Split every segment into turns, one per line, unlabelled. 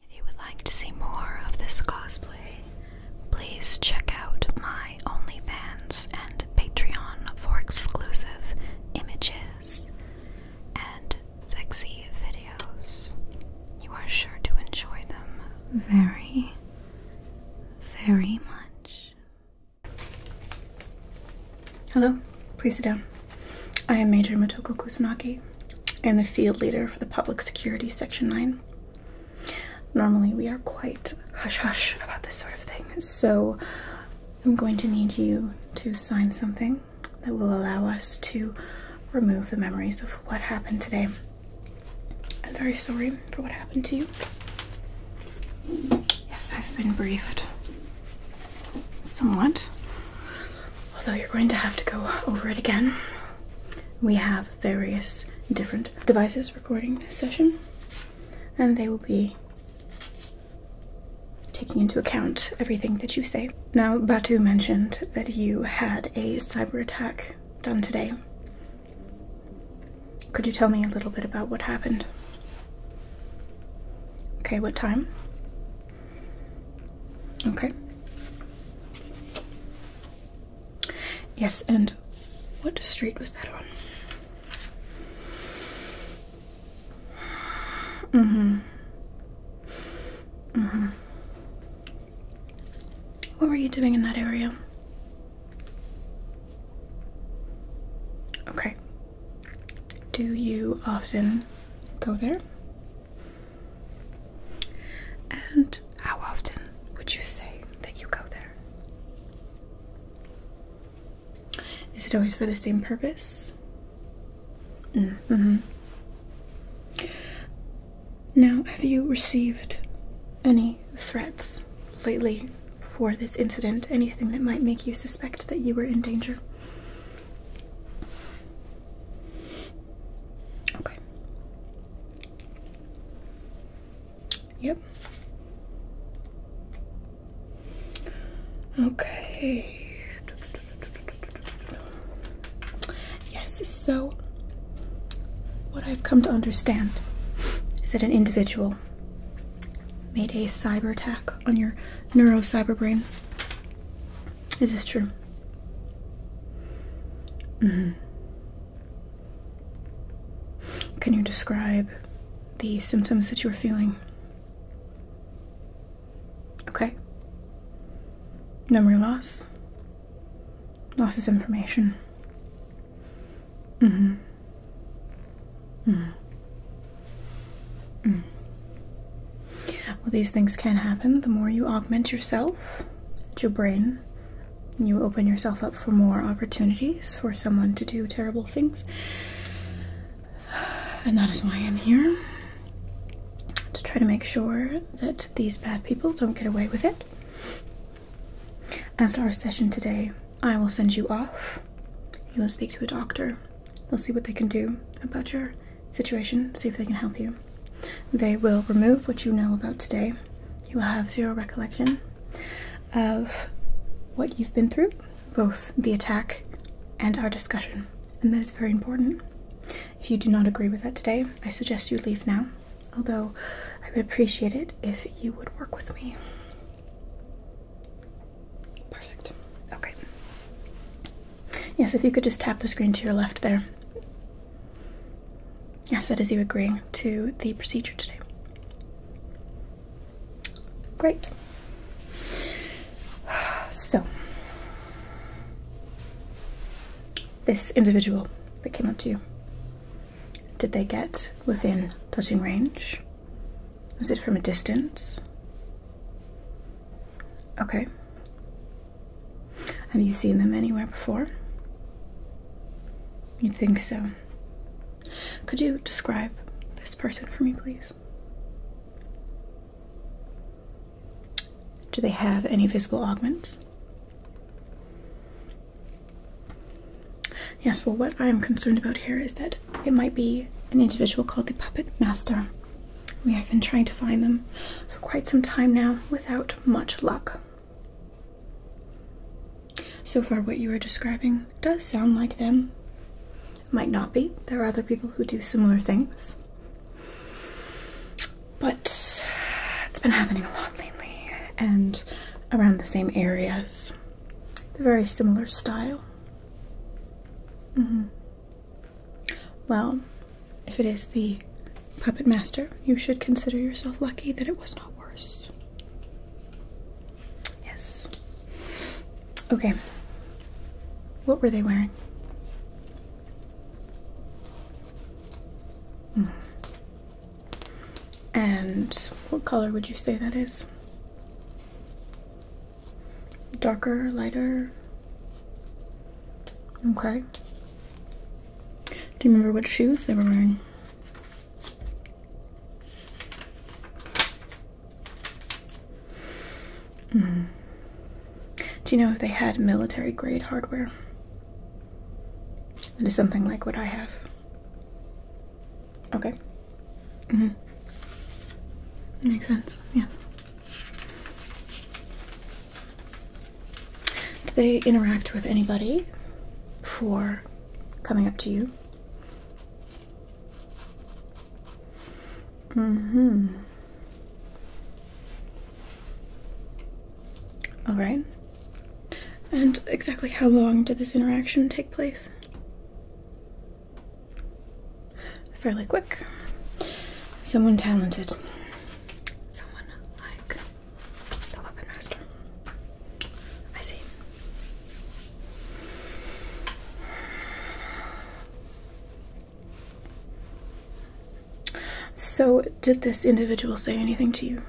If you would like to see more of this cosplay, please check out my OnlyFans and Patreon for exclusive images and sexy videos. You are sure to enjoy them very, very much. Hello, please sit down. I am Major Motoko Kusanagi, and the field leader for the public security section 9. Normally, we are quite hush hush about this sort of thing, so I'm going to need you to sign something that will allow us to remove the memories of what happened today. I'm very sorry for what happened to you. Yes, I've been briefed somewhat although you're going to have to go over it again. We have various different devices recording this session, and they will be taking into account everything that you say. Now, Batu mentioned that you had a cyber attack done today. Could you tell me a little bit about what happened? Okay, what time? Okay. Yes, and what street was that on? Mm-hmm. Mm-hmm. What were you doing in that area? Okay. Do you often go there? And how often would you say that you go there? Is it always for the same purpose? Mm hmm. Now, have you received any threats lately for this incident? Anything that might make you suspect that you were in danger? Okay. Yep. Okay. Yes, so what I've come to understand is that an individual made a cyber attack on your neuro cyber brain. Is this true? Mm-hmm. Can you describe the symptoms that you were feeling? Okay. Memory loss? Loss of information? Mm hmm. Mm hmm. Mm. Well, these things can happen. The more you augment yourself, your brain, you open yourself up for more opportunities for someone to do terrible things. And that is why I'm here to try to make sure that these bad people don't get away with it. After our session today, I will send you off. You will speak to a doctor we will see what they can do about your situation, see if they can help you. They will remove what you know about today. You will have zero recollection of what you've been through, both the attack and our discussion, and that is very important. If you do not agree with that today, I suggest you leave now, although I would appreciate it if you would work with me. Perfect. Okay. Yes, if you could just tap the screen to your left there. Yes, that is you agreeing to the procedure today. Great. So, this individual that came up to you, did they get within touching range? Was it from a distance? Okay. Have you seen them anywhere before? You think so? Could you describe this person for me, please? Do they have any visible augments? Yes, well, what I am concerned about here is that it might be an individual called the Puppet Master. We have been trying to find them for quite some time now without much luck. So far, what you are describing does sound like them. Might not be. There are other people who do similar things. But it's been happening a lot lately and around the same areas. They're very similar style. -hmm. Well, if it is the puppet master, you should consider yourself lucky that it was not worse. Yes. Okay. What were they wearing? Mm-hmm. And what color would you say that is? Darker, lighter. Okay. Do you remember what shoes they were wearing? Mm-hmm. Do you know if they had military grade hardware? That is something like what I have. Okay. Mm-hmm. Makes sense. Yes. Do they interact with anybody for coming up to you? Mm-hmm. All right. And exactly how long did this interaction take place? fairly quick. Someone talented. Someone like the weapon master. I see. So, did this individual say anything to you?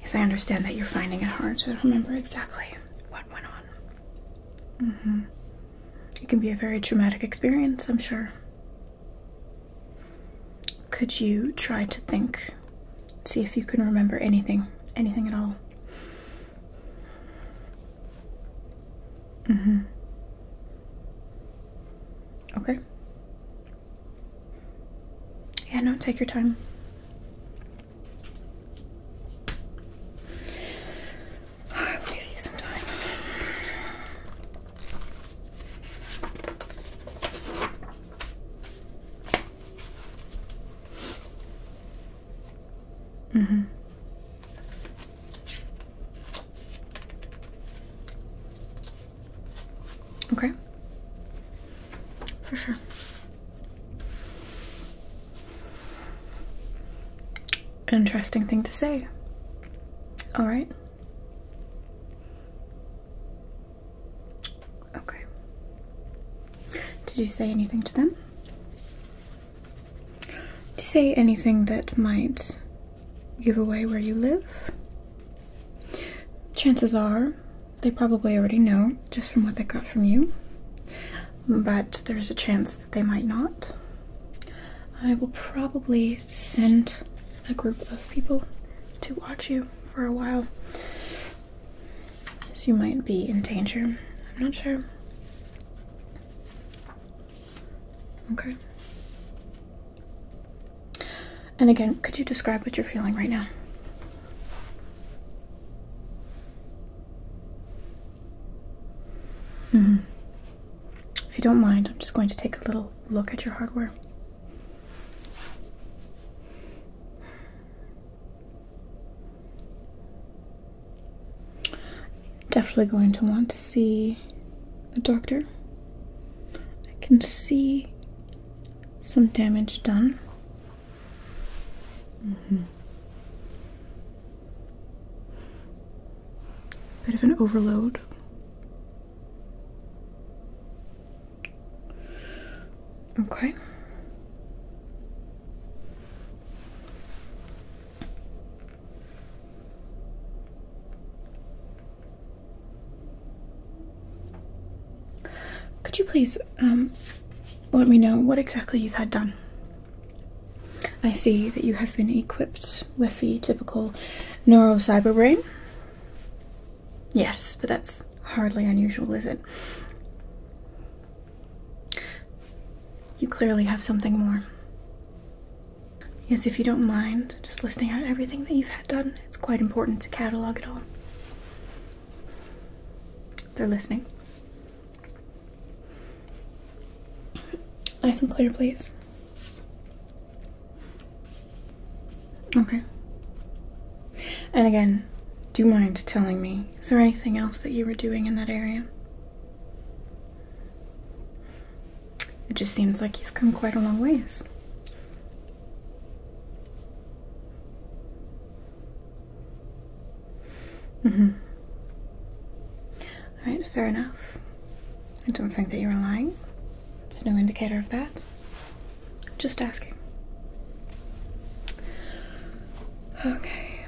Yes, I understand that you're finding it hard to remember exactly what went on. Mm-hmm. It can be a very traumatic experience, I'm sure. Could you try to think, see if you can remember anything, anything at all? Mm-hmm. Okay. Yeah, no, take your time. I will give you some time. Mm-hmm. Okay. For sure. Interesting thing to say. All right. Okay. Did you say anything to them? to say anything that might give away where you live. Chances are they probably already know just from what they got from you, but there is a chance that they might not. I will probably send a group of people to watch you for a while, as you might be in danger. I'm not sure. Okay. And again, could you describe what you're feeling right now? Mm-hmm. If you don't mind, I'm just going to take a little look at your hardware. Definitely going to want to see a doctor. I can see some damage done. Mm Bit of an overload. Okay. Could you please um, let me know what exactly you've had done? I see that you have been equipped with the typical neuro cyber brain. Yes, but that's hardly unusual, is it? You clearly have something more. Yes, if you don't mind just listing out everything that you've had done, it's quite important to catalog it all. They're listening. Nice and clear, please. Okay. And again, do you mind telling me, is there anything else that you were doing in that area? It just seems like he's come quite a long ways. -hmm. All right, fair enough. I don't think that you're lying. There's no indicator of that. Just asking. Okay.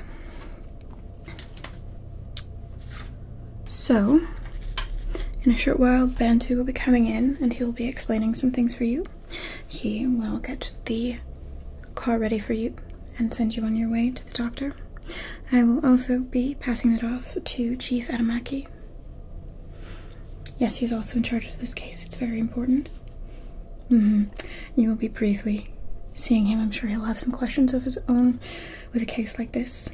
So, in a short while, Bantu will be coming in and he will be explaining some things for you. He will get the car ready for you and send you on your way to the doctor. I will also be passing it off to Chief Adamaki. Yes, he's also in charge of this case. It's very important. -hmm. You will be briefly seeing him. I'm sure he'll have some questions of his own with a case like this.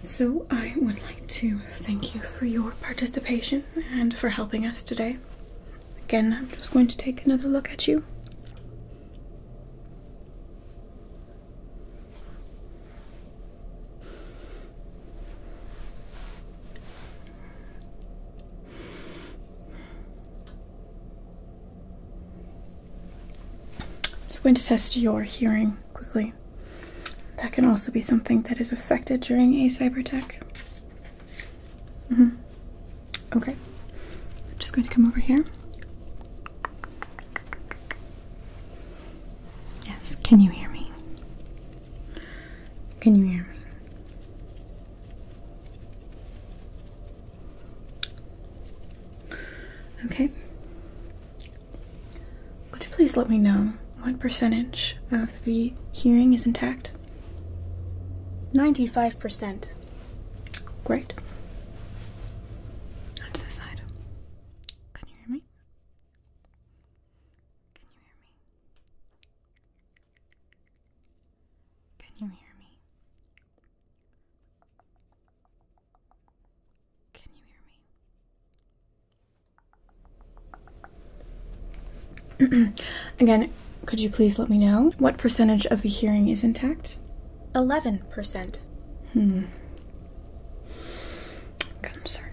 So, I would like to thank you for your participation and for helping us today. Again, I'm just going to take another look at you. I'm just going to test your hearing quickly. That can also be something that is affected during a cyber attack. -hmm. Okay. I'm just going to come over here. Yes, can you hear me? Can you hear me? Okay. Would you please let me know what percentage of the hearing is intact? 95%. Great. to the side. Can you hear me? Can you hear me? Can you hear me? Can you hear me? Again, could you please let me know what percentage of the hearing is intact? 11%. Hmm. Concerning.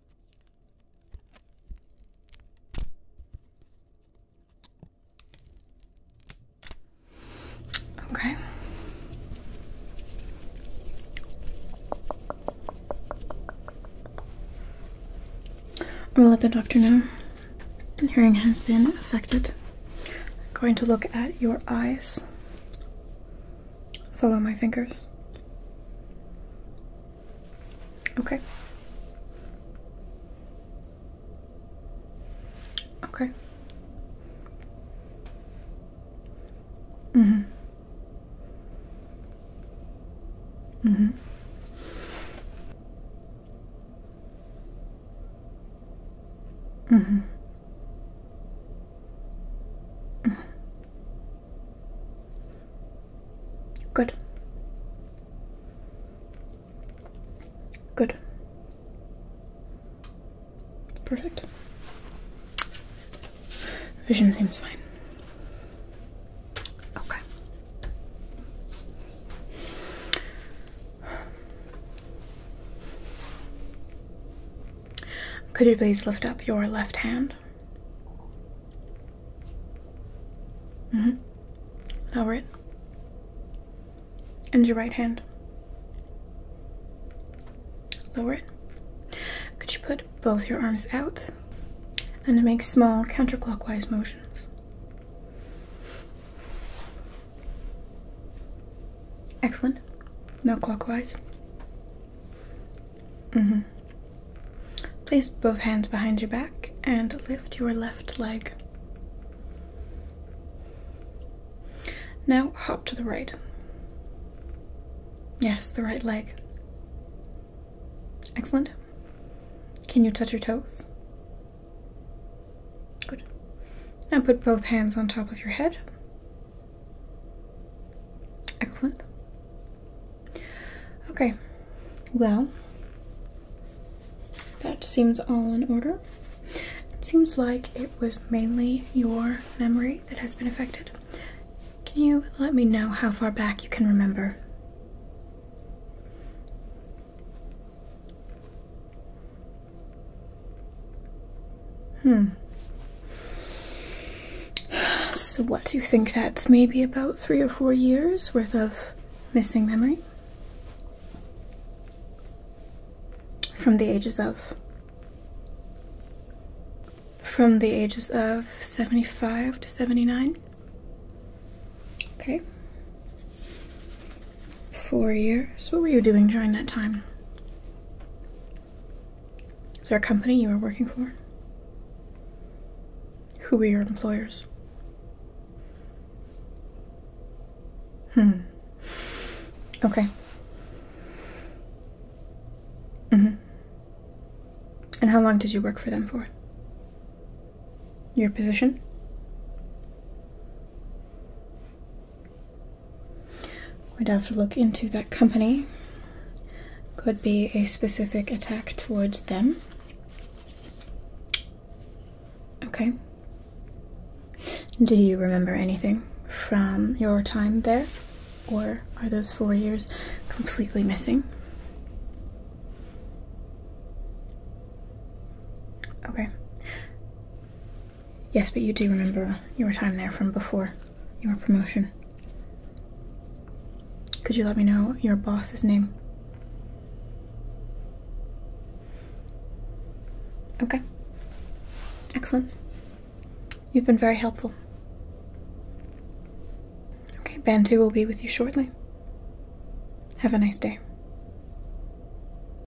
Okay. I'm gonna let the doctor know your hearing has been affected. I'm going to look at your eyes. Follow my fingers. Okay. Okay. Mhm. Mm mhm. Mm mhm. Mm Good. Good. Perfect. Vision seems fine. Okay. Could you please lift up your left hand? Mm-hmm. Lower it. And your right hand. Lower it. Could you put both your arms out and make small counterclockwise motions? Excellent. Now clockwise. Mm-hmm. Place both hands behind your back and lift your left leg. Now hop to the right. Yes, the right leg. Excellent. Can you touch your toes? Good. Now put both hands on top of your head Excellent. Okay, well, that seems all in order. It seems like it was mainly your memory that has been affected. Can you let me know how far back you can remember? Hmm. So, what do you think that's maybe about three or four years worth of missing memory? From the ages of? From the ages of 75 to 79? Okay. Four years. What were you doing during that time? Is there a company you were working for? Who were your employers? Hmm. Okay. Mm-hmm. And how long did you work for them for? Your position? We'd have to look into that company. Could be a specific attack towards them. Okay. Do you remember anything from your time there? Or are those four years completely missing? Okay. Yes, but you do remember your time there from before your promotion. Could you let me know your boss's name? Okay. Excellent. You've been very helpful. Okay, Bantu will be with you shortly. Have a nice day.